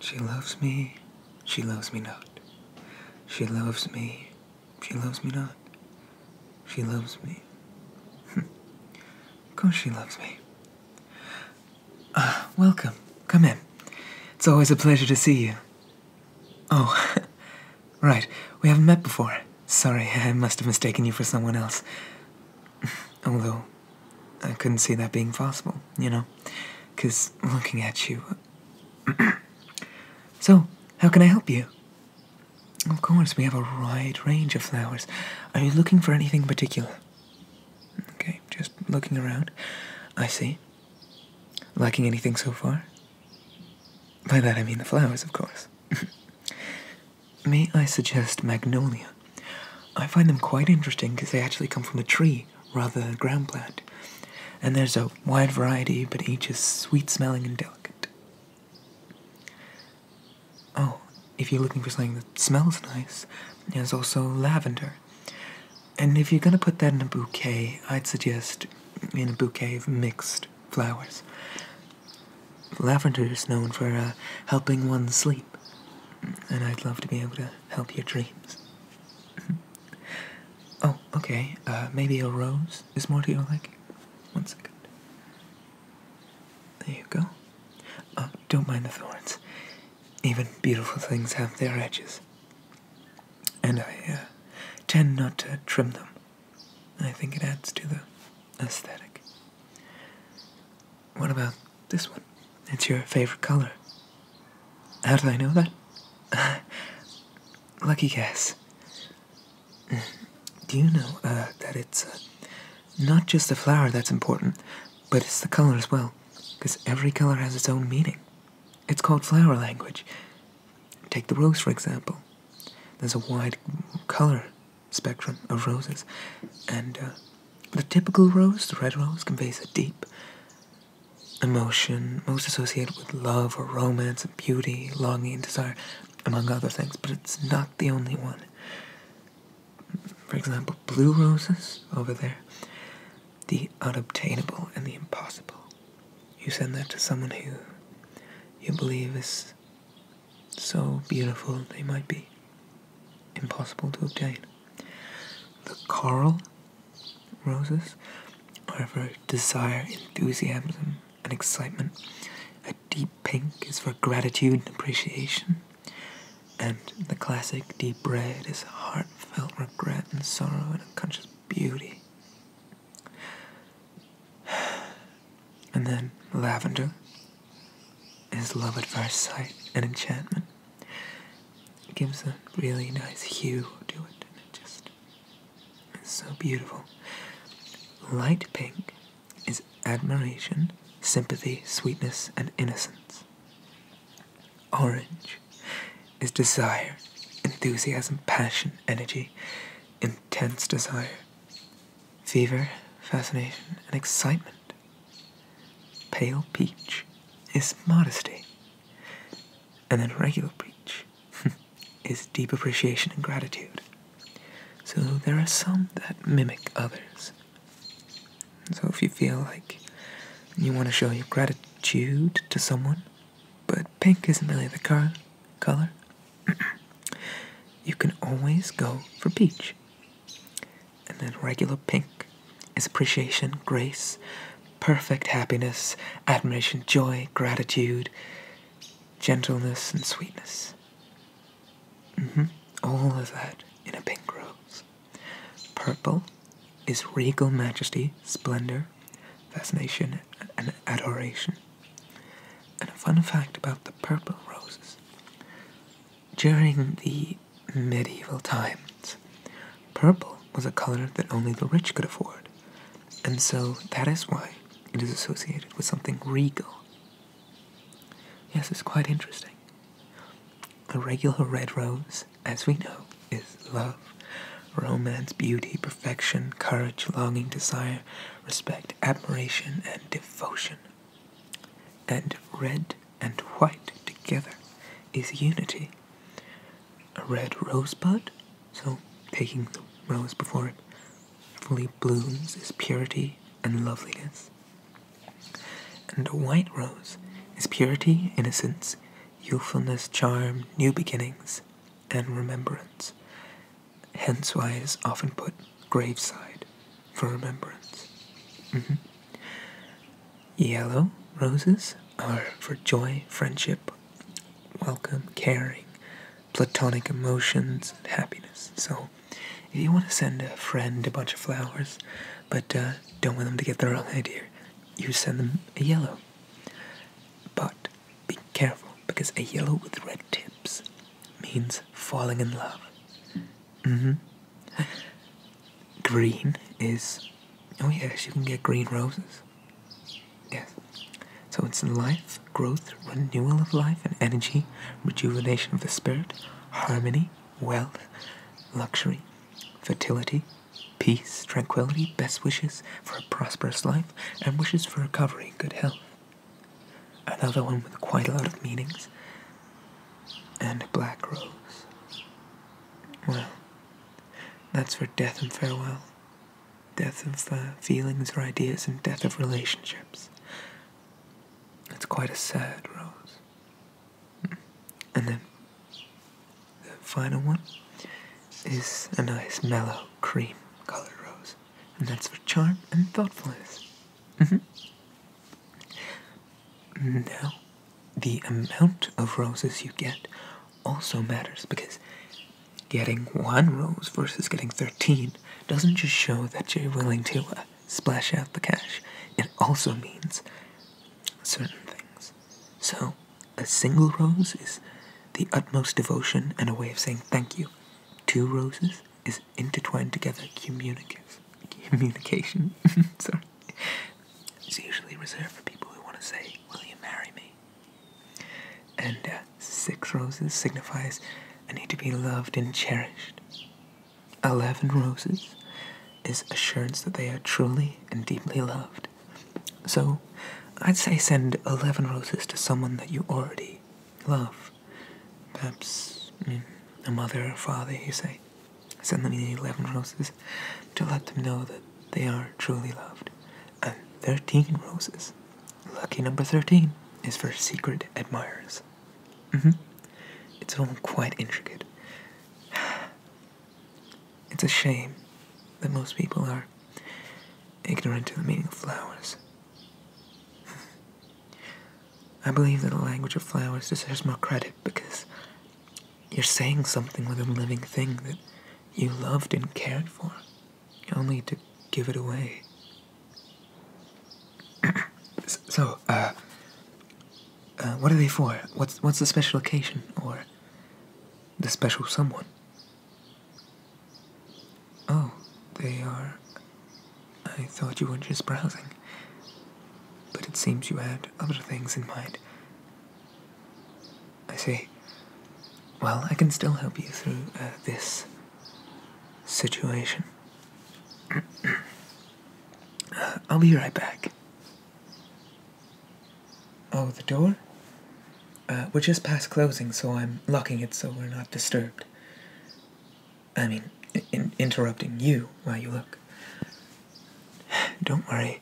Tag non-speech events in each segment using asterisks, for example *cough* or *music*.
She loves me, she loves me not. She loves me, she loves me not. She loves me. *laughs* of course she loves me. Uh, *sighs* welcome. Come in. It's always a pleasure to see you. Oh, *laughs* right. We haven't met before. Sorry, *laughs* I must have mistaken you for someone else. *clears throat* Although, I couldn't see that being possible, you know? Because looking at you. *clears throat* so, how can I help you? Of course, we have a wide range of flowers. Are you looking for anything particular? Okay, just looking around. I see. Lacking anything so far? By that I mean the flowers, of course. *laughs* May I suggest magnolia? I find them quite interesting because they actually come from a tree rather than a ground plant. And there's a wide variety, but each is sweet smelling and delicate. Oh, if you're looking for something that smells nice, there's also lavender. And if you're going to put that in a bouquet, I'd suggest in a bouquet of mixed flowers. Lavender is known for uh, helping one sleep, and I'd love to be able to help your dreams. *laughs* oh, okay, uh, maybe a rose is more to your liking. One second. There you go. Uh, don't mind the thorns. Even beautiful things have their edges. And I uh, tend not to trim them. I think it adds to the aesthetic. What about this one? It's your favorite color. How do I know that? *laughs* Lucky guess. Mm. Do you know uh, that it's uh, not just the flower that's important, but it's the color as well? Because every color has its own meaning. It's called flower language. Take the rose, for example. There's a wide color spectrum of roses, and uh, the typical rose, the red rose, conveys a deep emotion, most associated with love or romance and beauty, longing desire, among other things, but it's not the only one. For example, blue roses over there the unobtainable and the impossible. You send that to someone who you believe is so beautiful they might be impossible to obtain. The coral roses are for desire, enthusiasm, and excitement. A deep pink is for gratitude and appreciation and the classic deep red is heartfelt regret and sorrow and unconscious beauty. *sighs* And then lavender is love at first sight and enchantment. It gives a really nice hue to it, and it just its so beautiful. Light pink is admiration, sympathy, sweetness, and innocence. Orange is desire, enthusiasm, passion, energy, intense desire, fever, fascination, and excitement. Pale peach is modesty, and then regular peach *laughs* is deep appreciation and gratitude. So there are some that mimic others. So if you feel like you want to show your gratitude to someone, but pink isn't really the car color, *clears throat* you can always go for peach. And then regular pink is appreciation, grace, perfect happiness, admiration, joy, gratitude, gentleness, and sweetness. Mm -hmm. All of that in a pink rose. Purple is regal majesty, splendor, fascination, and adoration. And a fun fact about the purple roses during the medieval times, purple was a color that only the rich could afford, and so that is why it is associated with something regal. Yes, it's quite interesting. The regular red rose, as we know, is love, romance, beauty, perfection, courage, longing, desire, respect, admiration, and devotion. And red and white together is unity. A red rosebud, so taking the rose before it fully blooms, is purity and loveliness. And a white rose is purity, innocence, youthfulness, charm, new beginnings, and remembrance. Hence why often put graveside for remembrance. Mm-hmm. Yellow roses are for joy, friendship, welcome, caring, platonic emotions, and happiness. So, if you want to send a friend a bunch of flowers, but uh, don't want them to get the wrong idea, you send them a yellow. But be careful because a yellow with red tips means falling in love. Mm-hmm. Green is. Oh, yes, you can get green roses. Yes. So it's life, growth, renewal of life and energy, rejuvenation of the spirit, harmony, wealth, luxury, fertility, peace, tranquility, best wishes for a prosperous life, and wishes for recovery and good health. Another one with quite a lot of meanings. And a black rose. Well, that's for death and farewell, death of uh, feelings or ideas, and death of relationships. It's quite a sad rose. And then the final one is a nice mellow cream colored rose, and that's for charm and thoughtfulness. Mm-hmm. Now, the amount of roses you get also matters because getting one rose versus getting 13 doesn't just show that you're willing to uh, splash out the cash, it also means certain things. So, a single rose is the utmost devotion and a way of saying thank you. Two roses is intertwined together communicative communication. *laughs* So, It's usually reserved for people who want to say, Will you marry me? And uh, six roses signifies I need to be loved and cherished. Eleven roses is assurance that they are truly and deeply loved. So, I'd say send 11 roses to someone that you already love. Perhaps a mother or father, you say. Send them 11 roses to let them know that they are truly loved. And 13 roses. Lucky number 13 is for secret admirers. Mm hmm. It's all quite intricate. *sighs* It's a shame that most people are ignorant to the meaning of flowers. Hmm. I believe that the language of flowers deserves more credit because you're saying something with a living thing that you loved and cared for, only to give it away. *clears throat* so, uh, uh, what are they for? What's what's the special occasion or the special someone? Oh, they are. I thought you were just browsing, but it seems you had other things in mind. I see. Well, I can still help you through uh, this situation. *clears throat* Uh, I'll be right back. Oh, the door? Uh, we're just past closing, so I'm locking it so we're not disturbed. I mean, interrupting you while you look. *sighs* Don't worry.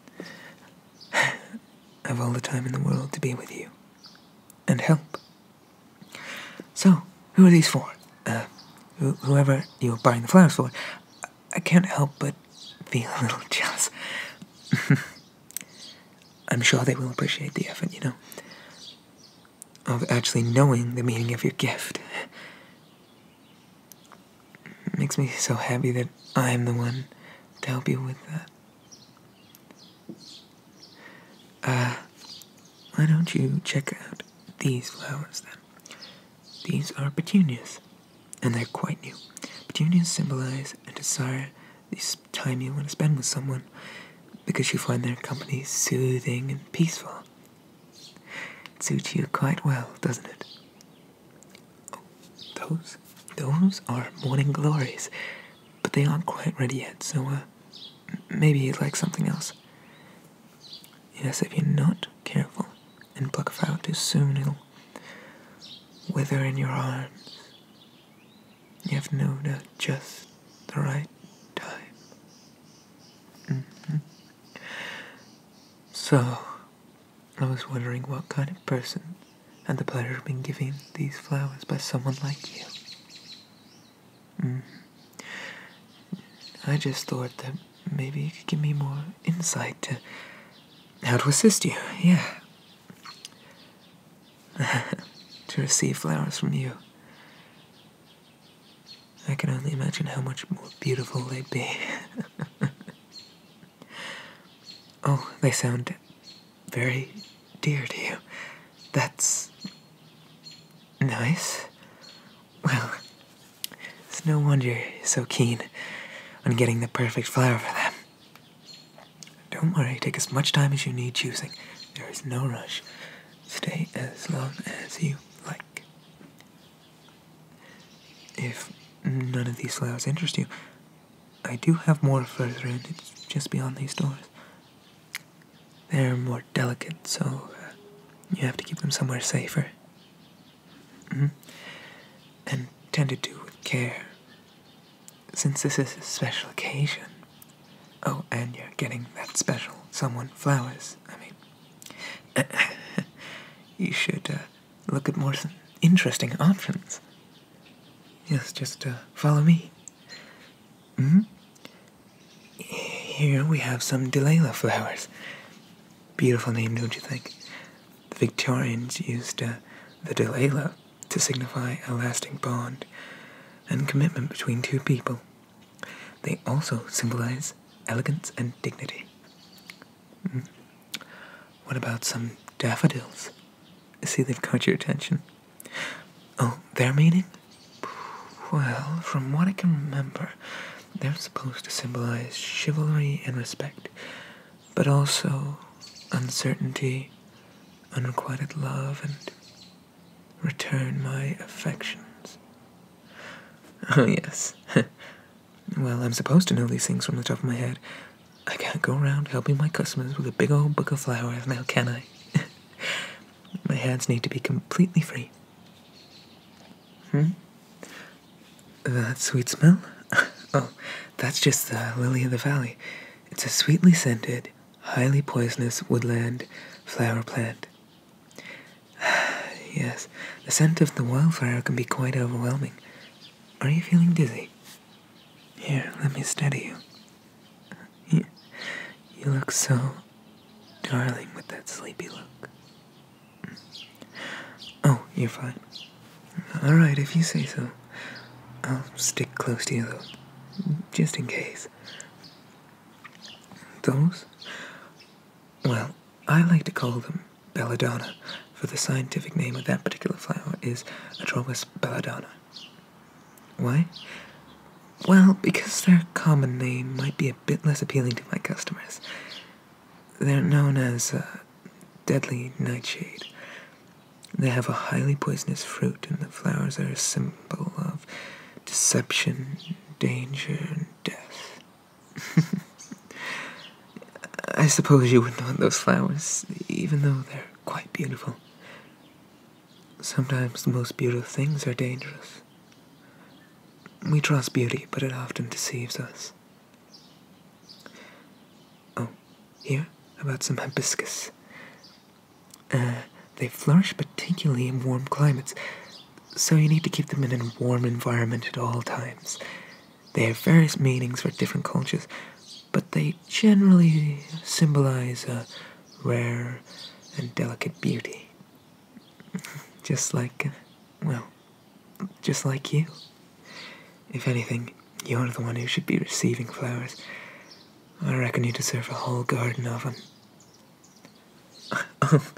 *sighs* I've all the time in the world to be with you and help. So, who are these for? Uh, whoever you're buying the flowers for, I can't help but feel a little *laughs* jealous. *laughs* I'm sure they will appreciate the effort, you know, of actually knowing the meaning of your gift. *laughs* makes me so happy that I am the one to help you with that. Uh, why don't you check out these flowers then? These are petunias and they're quite new. but you Petunias symbolize and desire this time you want to spend with someone because you find their company soothing and peaceful. It suits you quite well, doesn't it? Oh, those, those are morning glories, but they aren't quite ready yet, so uh, maybe you'd like something else. Yes, if you're not careful, and pluck it out too soon, it'll wither in your arms. You have known at just the right time. Mm-hmm. So, I was wondering what kind of person had the pleasure of being given these flowers by someone like you. Mm-hmm. I just thought that Maybe you could give me more insight to how to assist you, yeah. *laughs* to receive flowers from you. I can only imagine how much more beautiful they'd be. *laughs* oh, they sound very dear to you. That's nice. Well, it's no wonder you're so keen on getting the perfect flower for them. Don't worry, take as much time as you need choosing. There is no rush. Stay as long as you like. If none of these flowers interest you, I do have more further in. It's just beyond these doors. They're more delicate, so uh, you have to keep them somewhere safer. Mm-hmm. And tend to do with care. Since this is a special occasion. Oh, and you're getting that special someone flowers, I mean. *laughs* you should uh, look at more interesting options. Yes, just uh, follow me. Mm-hmm. Here we have some delila flowers. Beautiful name, don't you think? The Victorians used uh, the delayla to signify a lasting bond and commitment between two people. They also symbolize elegance and dignity. Hmm. What about some daffodils? see they've caught your attention. Oh, their meaning? Well, from what I can remember, they're supposed to symbolize chivalry and respect, but also uncertainty, unrequited love, and return my affections. Oh, yes. *laughs* well, I'm supposed to know these things from the top of my head. I can't go around helping my customers with a big old book of flowers now, can I? *laughs* my hands need to be completely free. Hmm? That sweet smell? *laughs* oh, that's just the lily of the valley. It's a sweetly scented, highly poisonous woodland flower plant. *sighs* yes, the scent of the wildflower can be quite overwhelming. Are you feeling dizzy? Here, let me steady you. You look so darling with that sleepy look. Oh, you're fine. Alright, if you say so. I'll stick close to you, though, just in case. Those? Well, I like to call them belladonna, for the scientific name of that particular flower is Atromus belladonna. Why? Well, because their common name might be a bit less appealing to my customers. They're known as uh, deadly nightshade. They have a highly poisonous fruit, and the flowers are a symbol of deception, danger, and death. *laughs* I suppose you wouldn't want those flowers, even though they're quite beautiful. Sometimes the most beautiful things are dangerous. We trust beauty, but it often deceives us. Oh, here, about some hibiscus. Uh, they flourish particularly in warm climates, so you need to keep them in a warm environment at all times. They have various meanings for different cultures, but they generally symbolize a rare and delicate beauty. *laughs* Just like, uh, well, just like you. If anything, you're the one who should be receiving flowers. I reckon you deserve a whole garden of them. Oh,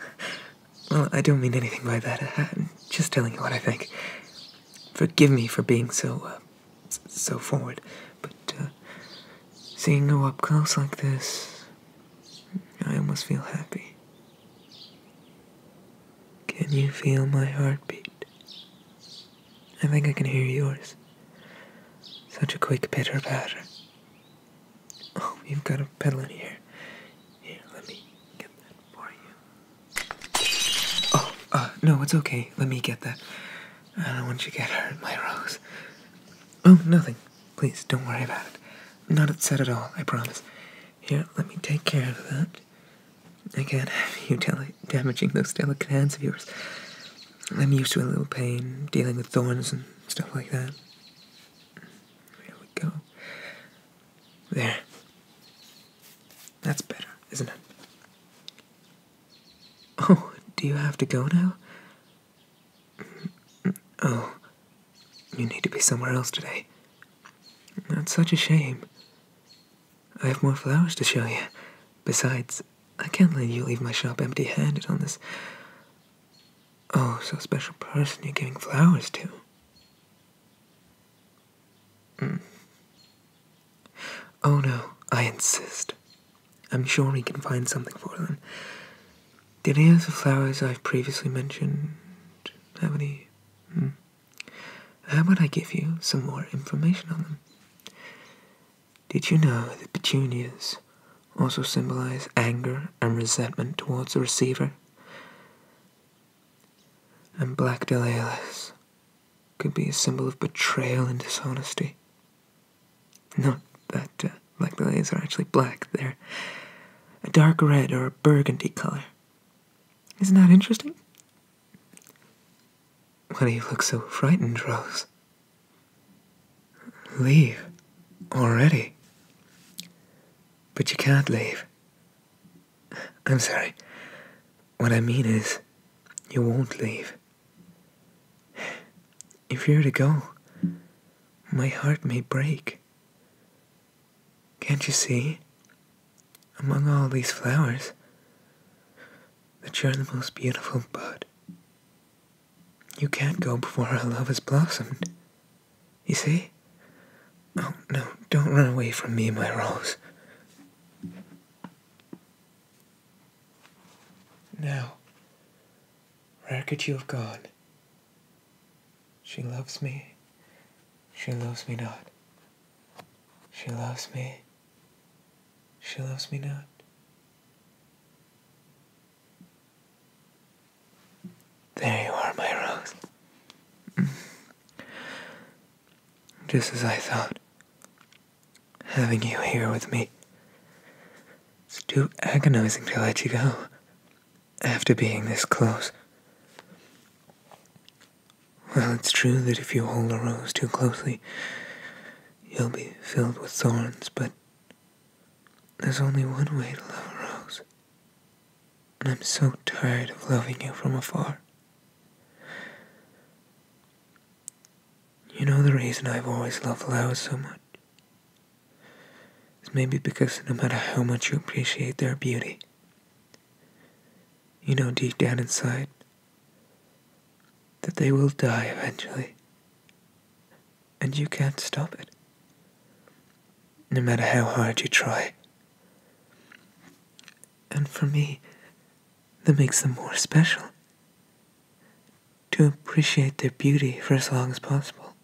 *laughs* I don't mean anything by that. I'm just telling you what I think. Forgive me for being so, uh, so forward, but uh, seeing you up close like this, I almost feel happy. Can you feel my heartbeat? I think I can hear yours. Such a quick pitter patter. Oh, you've got a pedal in here. Here, let me get that for you. Oh, uh, no, it's okay. Let me get that. I don't want you to get hurt, my rose. Oh, nothing. Please, don't worry about it. not upset at all, I promise. Here, let me take care of that. I can't have you damaging those delicate hands of yours. I'm used to a little pain, dealing with thorns and stuff like that. There we go. There. That's better, isn't it? Oh, do you have to go now? Oh, you need to be somewhere else today. That's such a shame. I have more flowers to show you. Besides, I can't let you leave my shop empty handed on this. Oh, so special person you're giving flowers to. Hmm. Oh no, I insist. I'm sure we can find something for them. Did any of the flowers I've previously mentioned have any? Hmm. How about I give you some more information on them? Did you know that petunias also symbolize anger and resentment towards the receiver? And black dahlias could be a symbol of betrayal and dishonesty. Not that uh, black dahlias are actually black, they're a dark red or a burgundy color. Isn't that interesting? Why do you look so frightened, Rose? Leave. Already. But you can't leave. I'm sorry. What I mean is, you won't leave. If you're to go, my heart may break. Can't you see, among all these flowers, that you're the most beautiful bud? You can't go before our love has blossomed. You see? Oh, no, don't run away from me, my rose. Now, where could you have gone? She loves me. She loves me not. She loves me. She loves me not. There you are, my rose. Mm. Just as I thought. Having you here with me. It's too agonizing to let you go. After being this close. Well, it's true that if you hold a rose too closely, you'll be filled with thorns, but there's only one way to love a rose. And I'm so tired of loving you from afar. You know the reason I've always loved flowers so much? It's maybe because no matter how much you appreciate their beauty, you know deep down inside that they will die eventually. And you can't stop it. No matter how hard you try. And for me, that makes them more special. To appreciate their beauty for as long as possible.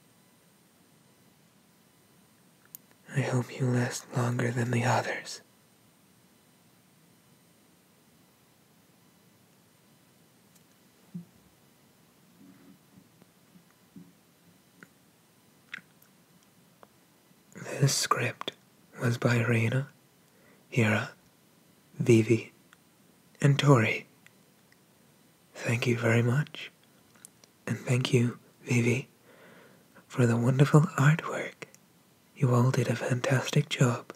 I hope you last longer than the others. This script was by Rena, Hira, Vivi, and Tori. Thank you very much. And thank you, Vivi for the wonderful artwork. You all did a fantastic job.